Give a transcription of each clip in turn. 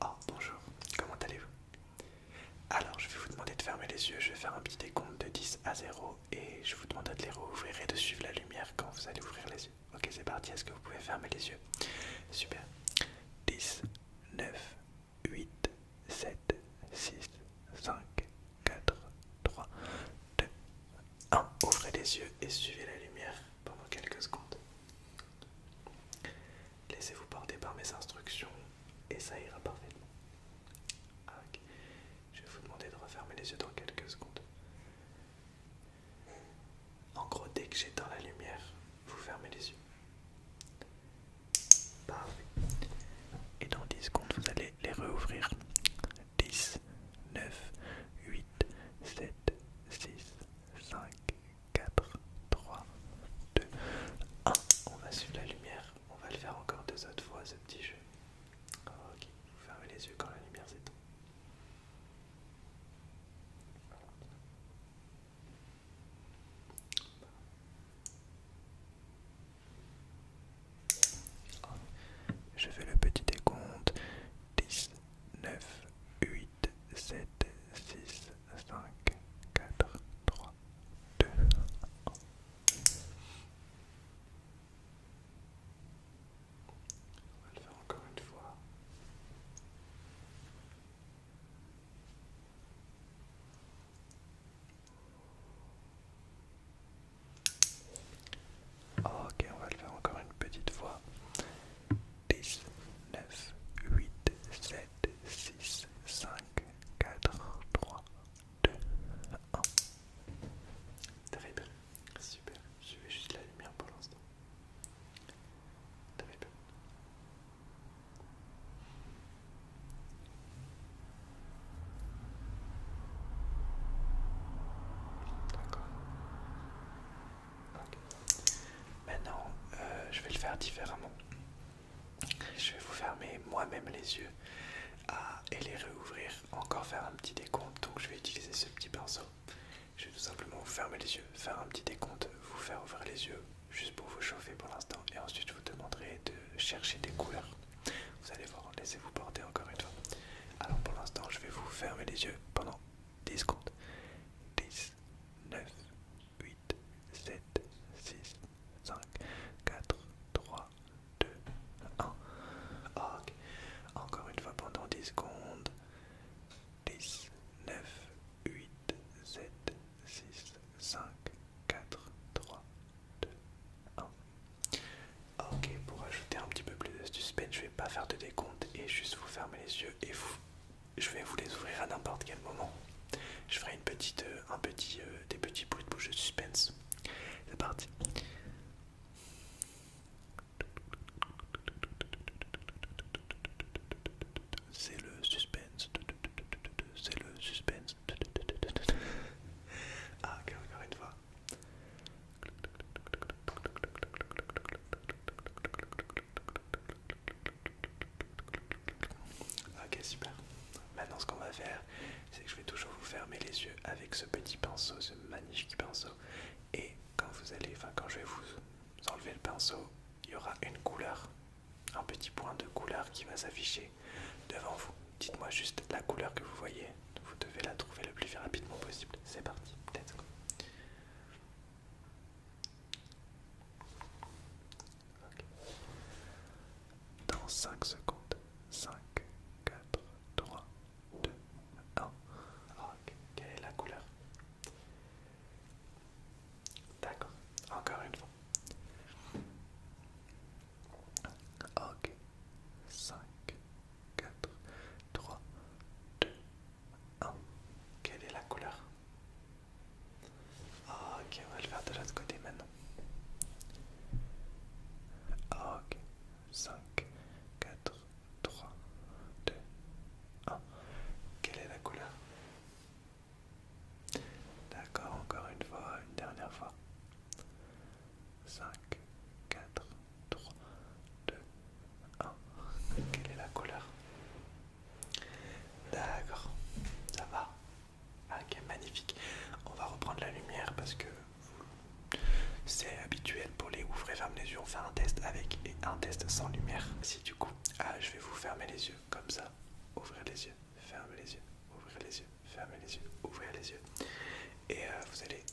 Oh, bonjour, comment allez-vous Alors, je vais vous demander de fermer les yeux, je vais faire un petit décompte de 10 à 0 et je vous demanderai de les rouvrir et de suivre la lumière quand vous allez ouvrir les yeux. Ok, c'est parti, est-ce que vous pouvez fermer les yeux Super. 10, 9, 8, 7, 6, 5, 4, 3, 2, 1. Ouvrez les yeux et suivez la lumière pendant quelques secondes. Laissez-vous porter par mes instructions et ça ira parfaitement. Ah, Je vais vous demander de refermer les yeux dans quelques secondes. En gros, dès que j'éteins la lumière, vous fermez les yeux. Parfait. Et dans 10 secondes, vous allez les rouvrir. 10, 9, 8, 7, 6, 5, 4, 3, 2, 1. On va suivre la lumière. On va le faire encore deux autres fois, ce petit jeu. Ok, vous fermez les yeux quand la lumière s'éteint. Je fais le petit décompte. 10, 9, 8, 7, 6, 5, 4, 3, 2, 1. On va le faire encore une fois. Ok, on va le faire encore une petite fois. 10, 9, 8, 7, 6, 5, 4, 3, 2, 1. Très super. Je vais juste la lumière pour l'instant. Très D'accord. Maintenant, euh, je vais le faire différemment. Je vais vous fermer moi-même les yeux et les réouvrir, encore faire un petit décompte. Donc je vais utiliser ce petit pinceau. Je vais tout simplement vous fermer les yeux, faire un petit décompte, vous faire ouvrir les yeux, juste pour vous chauffer pour l'instant. Et ensuite, je vous demanderai de chercher des couleurs. Vous allez voir, laissez-vous porter encore une fois. Alors pour l'instant, je vais vous fermer les yeux pendant 10 secondes. 10, 9, 8, 7, 6, 5, 4, 3, 2, 1. Encore une fois pendant 10 secondes. 10, 9, 8, 7, 6, 5, 4, 3, 2, 1. Ok, pour ajouter un petit peu plus de suspense, pas faire de décompte et juste vous fermer les yeux et vous, je vais vous les ouvrir à n'importe quel moment. Je ferai une petite, euh, un petit, euh, des petits bruits de bouche de suspense. C'est parti. C'est le suspense. C'est le suspense. Ah, encore une fois. Ok, super. Maintenant, ce qu'on va faire, c'est que je vais toujours vous fermer les yeux avec ce petit pinceau, ce magnifique pinceau. Et quand vous allez, enfin, quand je vais vous enlever le pinceau, il y aura une couleur, un petit point de couleur qui va s'afficher devant vous. Dites-moi juste la couleur que vous voyez. Vous devez la trouver le plus rapidement possible. C'est parti, dans 5 secondes, 5, 4, 3, 2, 1. OK. Quelle est la couleur D'accord, encore une fois. Ok, 5, 4, 3, 2, 1. Ah, quelle est la couleur ah, Ok, on va le faire de l'autre côté maintenant. Ah, ok, 5, 4, 3, 2, 1. Quelle est la couleur D'accord, encore une fois, une dernière fois. 5, 4, 3, 2, 1. Quelle est la couleur D'accord, ça va. Ah, ok, magnifique. On va reprendre la lumière parce que c'est habituel pour les ouvrir et ferme les yeux. On fait un test avec et un test sans lumière. Si du coup, ah, je vais vous fermer les yeux comme ça. Ouvrir les yeux, fermez les yeux, ouvrir les yeux, fermez les yeux, ouvrir les yeux. Et euh, vous allez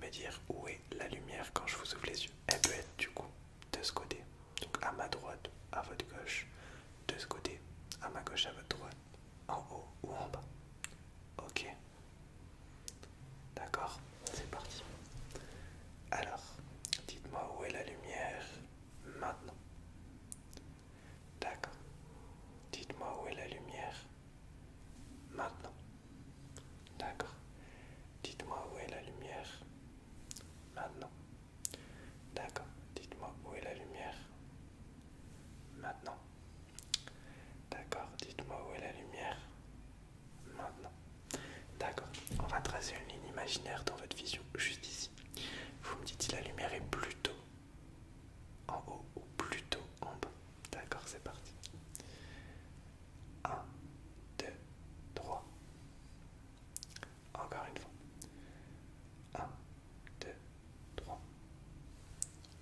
me dire où est la lumière quand je vous ouvre les yeux. Elle peut être du coup de ce côté, donc à ma droite, à votre gauche, de ce côté, à ma gauche, à votre droite, en haut ou en bas. Ok D'accord, c'est parti. Alors, dites-moi où est la lumière maintenant. D'accord. Dites-moi où est la lumière maintenant. D'accord. Dites-moi où est la lumière. Maintenant. D'accord. Dites-moi où est la lumière. Maintenant. D'accord. Dites-moi où est la lumière. Maintenant. D'accord. On va tracer une ligne imaginaire dans votre vision, juste ici. Vous me dites si la lumière est plutôt en haut ou plutôt en bas. D'accord, c'est parti. 1, 2, 3. Encore une fois. 1, 2, 3.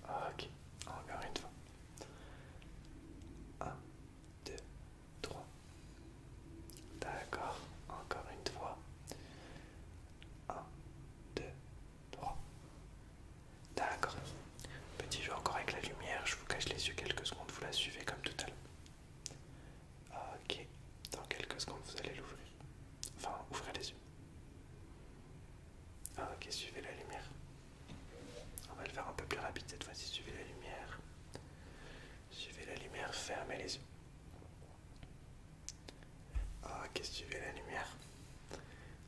Ok, encore une fois. 1, 2, 3. D'accord, encore une fois. 1, 2, 3. D'accord, Petit jeu encore avec la lumière, je vous cache les yeux quelques secondes, vous la suivez comme tout à l'heure. Ah, ok, dans quelques secondes vous allez l'ouvrir. Enfin, ouvrez les yeux. Ah, ok, suivez la lumière. On va le faire un peu plus rapide cette fois-ci, suivez la lumière. Suivez la lumière, fermez les yeux. Ah, ok, suivez la lumière.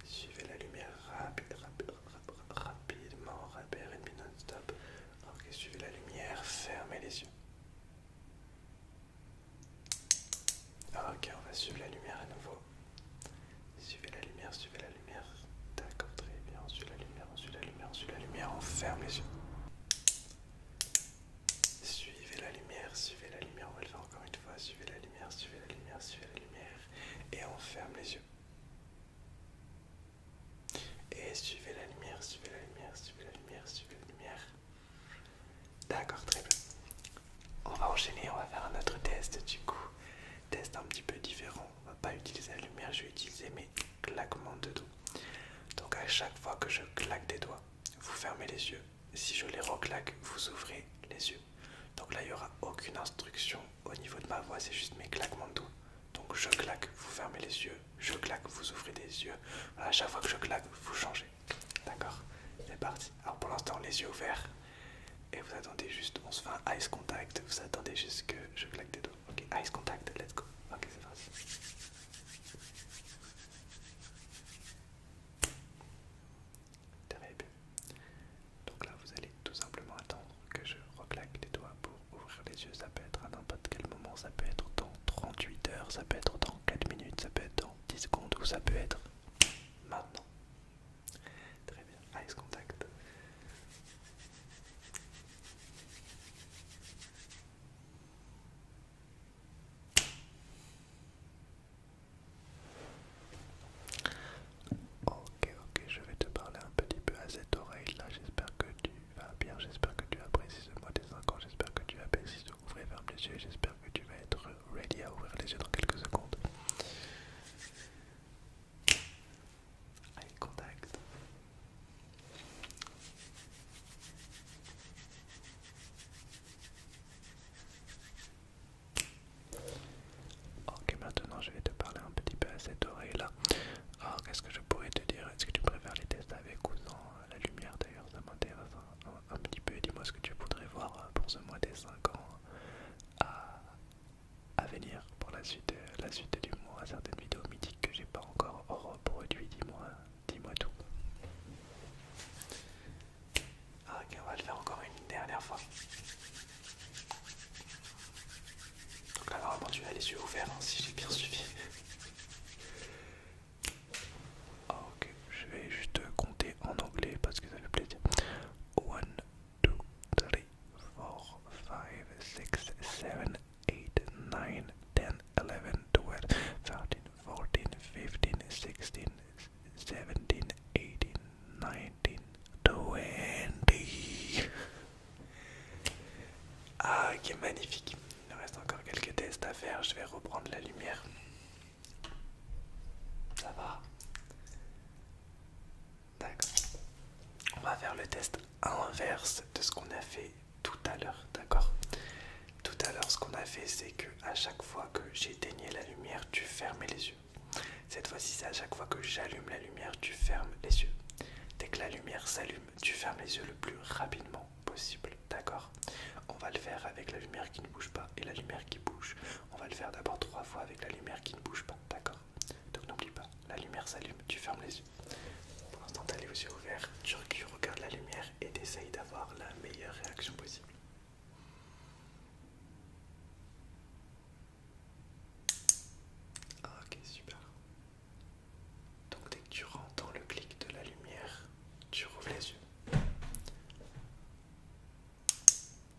Suivez la lumière rapide, rapide, rapide rapidement, rapidement, une minute, stop. Ok, suivez la lumière, fermez les yeux. Ok, on va suivre la lumière à nouveau. Suivez la lumière, suivez la lumière. D'accord, très bien. On la lumière, on suit la lumière, on suit la lumière, on ferme les yeux. Suivez la lumière, suivez la lumière, on va le faire encore une fois. Suivez la lumière, suivez la lumière, suivez la lumière. Et on ferme les yeux. Et suivez la lumière, suivez la lumière, suivez la lumière, suivez la lumière. D'accord, très bien. On va enchaîner, on va faire un autre test du coup. Test un petit peu différent. On va pas utiliser la lumière, je vais utiliser mes claquements de doigts. Donc à chaque fois que je claque des doigts, vous fermez les yeux. Si je les reclaque, vous ouvrez les yeux. Donc là, il n'y aura aucune instruction au niveau de ma voix, c'est juste mes claquements de doigts. Donc je claque, vous fermez les yeux, je claque, vous ouvrez les yeux. à chaque fois que je claque, vous changez. D'accord C'est parti. Alors pour l'instant, les yeux ouverts. Et vous attendez juste, on se fait un ice contact. Vous attendez juste que je claque des doigts. Ok, ice contact, let's go. Ok, c'est parti. bien. Donc là, vous allez tout simplement attendre que je reclaque les doigts pour ouvrir les yeux. Ça peut être à n'importe quel moment, ça peut être dans 38 heures, ça peut être dans 4 minutes, ça peut être dans 10 secondes ou ça peut être maintenant. Très bien, ice contact. Ok, ok, je vais te parler un petit peu à cette oreille-là. J'espère que tu vas bien, j'espère que tu apprécies le mois des 5 j'espère que tu apprécies de ouvrir et ferme les yeux, j'espère que tu vas être ready à ouvrir les yeux dans quelques secondes. contact. Ok, maintenant je vais te parler un petit peu à cette oreille-là. Alors, qu'est-ce que je pourrais te dire Est-ce que tu préfères les tests avec ou sans la lumière D'ailleurs, ça m'intéresse un, petit peu. Dis-moi ce que tu voudrais voir euh, pour ce mois des 5 ans euh, à, venir, pour la suite, euh, la suite du mois. Certaines vidéos mythiques que j'ai pas encore reproduites, dis-moi dis tout. Ah, ok, on va le faire encore une dernière fois. Donc là, vraiment, tu as les yeux ouverts hein, si j'ai bien suivi. Ah, ok, je vais juste compter en anglais parce que ça fait plaisir. 1, 2, 3, 4, 5, 6, 7, 8, 9, 10, 11, 12, 13, 14, 15, 16, 17, 18, 1920. Ah, qui est magnifique. Il nous reste encore quelques tests à faire. Je vais reprendre la lumière. Ça va D'accord. On va faire le test inverse de ce qu'on a fait tout à l'heure. D'accord Tout à l'heure, ce qu'on a fait, c'est que à chaque fois que j'éteignais la lumière, tu fermais les yeux. Cette fois-ci, c'est à chaque fois que j'allume la lumière, tu fermes les yeux. Dès que la lumière s'allume, tu fermes les yeux le plus rapidement possible. D'accord On va le faire avec la lumière qui ne bouge pas et la lumière qui bouge. On va le faire d'abord trois fois avec la lumière qui ne bouge pas. D'accord Donc n'oublie pas, la lumière s'allume, tu fermes les yeux. Pour l'instant, t'as les yeux ouverts, tu regardes la lumière et t'essayes d'avoir la meilleure réaction possible. Ah, ok, super. Donc dès que tu entends le clic de la lumière, tu rouvres les yeux.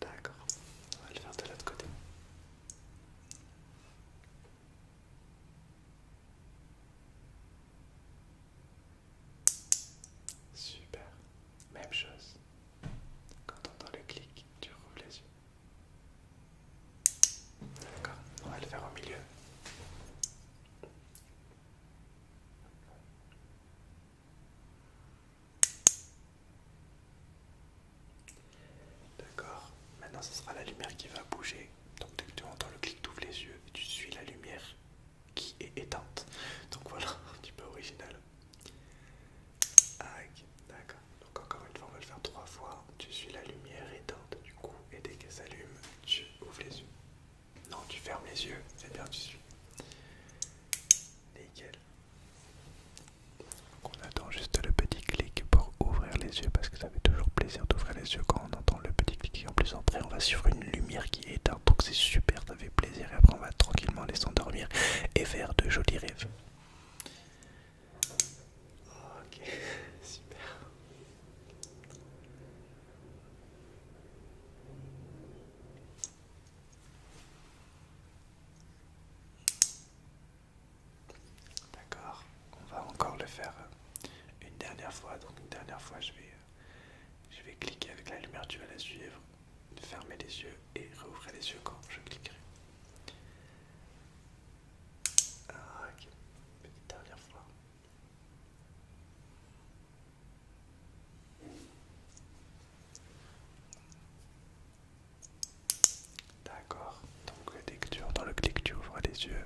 D'accord, on va le faire de l'autre côté. Super, même chose. Quand tu entends le clic, tu rouvres les yeux. D'accord, on va le faire au milieu. D'accord, maintenant ce sera la lumière qui va bouger. Donc dès que tu entends le clic, tu ouvres les yeux et tu suis la lumière qui est éteinte. Donc voilà, un petit peu original d'accord. Donc encore une fois, on va le faire trois fois. Tu suis la lumière éteinte du coup et dès qu'elle s'allume, tu ouvres les yeux. Non, tu fermes les yeux, c'est bien, tu suis. Nickel. Donc on attend juste le petit clic pour ouvrir les yeux parce que ça fait toujours plaisir d'ouvrir les yeux quand on entend le petit clic. Et en plus, après, on va sur une lumière qui est éteinte, donc c'est super, ça fait plaisir. Et après, on va tranquillement laisser endormir et faire de jolis rêves. Ok, super. D'accord, on va encore le faire euh, une dernière fois. Donc une dernière fois, je vais, euh, je vais cliquer avec la lumière, tu vas la suivre fermer les yeux et rouvrir les yeux quand je cliquerai. Ah, ok, petite dernière fois. D'accord, donc dès que tu entends le clic, tu ouvres les yeux.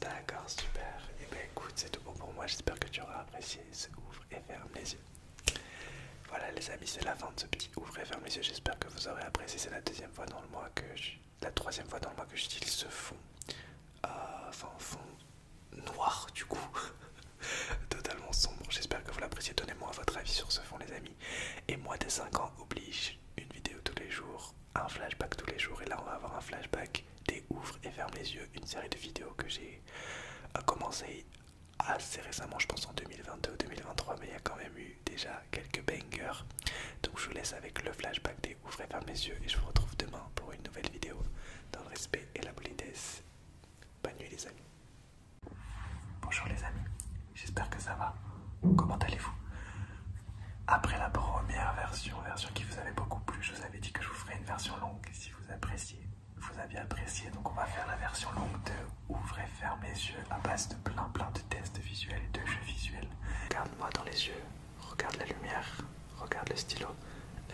D'accord, super. Et eh ben écoute, c'est tout pour moi. J'espère que tu auras apprécié. ouvre et ferme les yeux. Voilà les amis, c'est la fin de ce petit ouvre et ferme les yeux. J'espère que vous aurez apprécié. C'est la deuxième fois dans le mois que la troisième fois dans le mois que j'utilise ce fond, euh, enfin fond noir du coup, totalement sombre. J'espère que vous l'appréciez. Donnez-moi votre avis sur ce fond les amis. Et moi dès 5 ans oblige une vidéo tous les jours, un flashback tous les jours. Et là on va avoir un flashback des ouvre et ferme les yeux, une série de vidéos que j'ai euh, commencé assez récemment, je pense en 2022 ou 2023, mais il y a quand même eu déjà quelques bangers. Donc je vous laisse avec le flashback des Ouvrez fermes mes yeux et je vous retrouve demain pour une nouvelle vidéo dans le respect et la politesse. Bonne nuit les amis. Bonjour les amis, j'espère que ça va. Comment allez-vous Après la première version, version qui vous avait beaucoup plu, je vous avais dit que je vous ferai une version longue si vous appréciez vous avez apprécié. Donc on va faire la version longue de Ouvrez, fermez les yeux à base de plein plein de tests visuels et de jeux visuels. Regarde-moi dans les yeux, regarde la lumière, regarde le stylo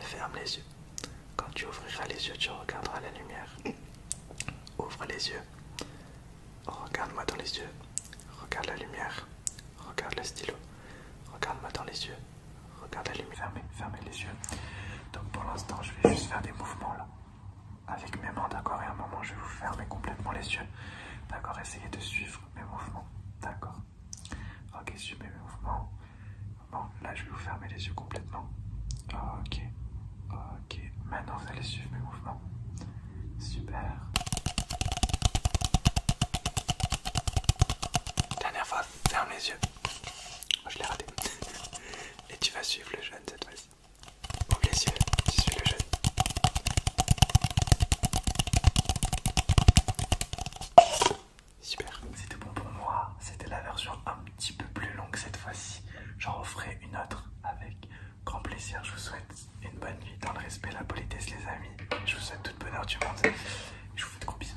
ferme les yeux. Quand tu ouvriras les yeux, tu regarderas la lumière. Ouvre les yeux. Regarde-moi dans les yeux. Regarde la lumière. Regarde le stylo. Regarde-moi dans les yeux. Regarde la lumière. Ferme, fermez les yeux. Donc pour l'instant, je vais juste faire des mouvements là, avec mes mains, d'accord Et à un moment, je vais vous fermer complètement les yeux, d'accord Essayez de suivre mes mouvements, d'accord Ok, suivez mes mouvements. Bon, là, je vais vous fermer les yeux complètement. Ok, ok. Maintenant, vous allez suivre mes mouvements. Super. Dernière fois, ferme les yeux. je l'ai raté. Et tu vas suivre le jeune cette fois-ci. Au les tu suis le jeûne. Super. C'était bon pour moi. C'était la version un petit peu plus longue cette fois-ci. J'en referai une autre avec grand plaisir. Je vous souhaite une bonne nuit dans le respect la politesse les amis. Je vous souhaite toute bonne heure du monde. Je vous fais de gros bisous.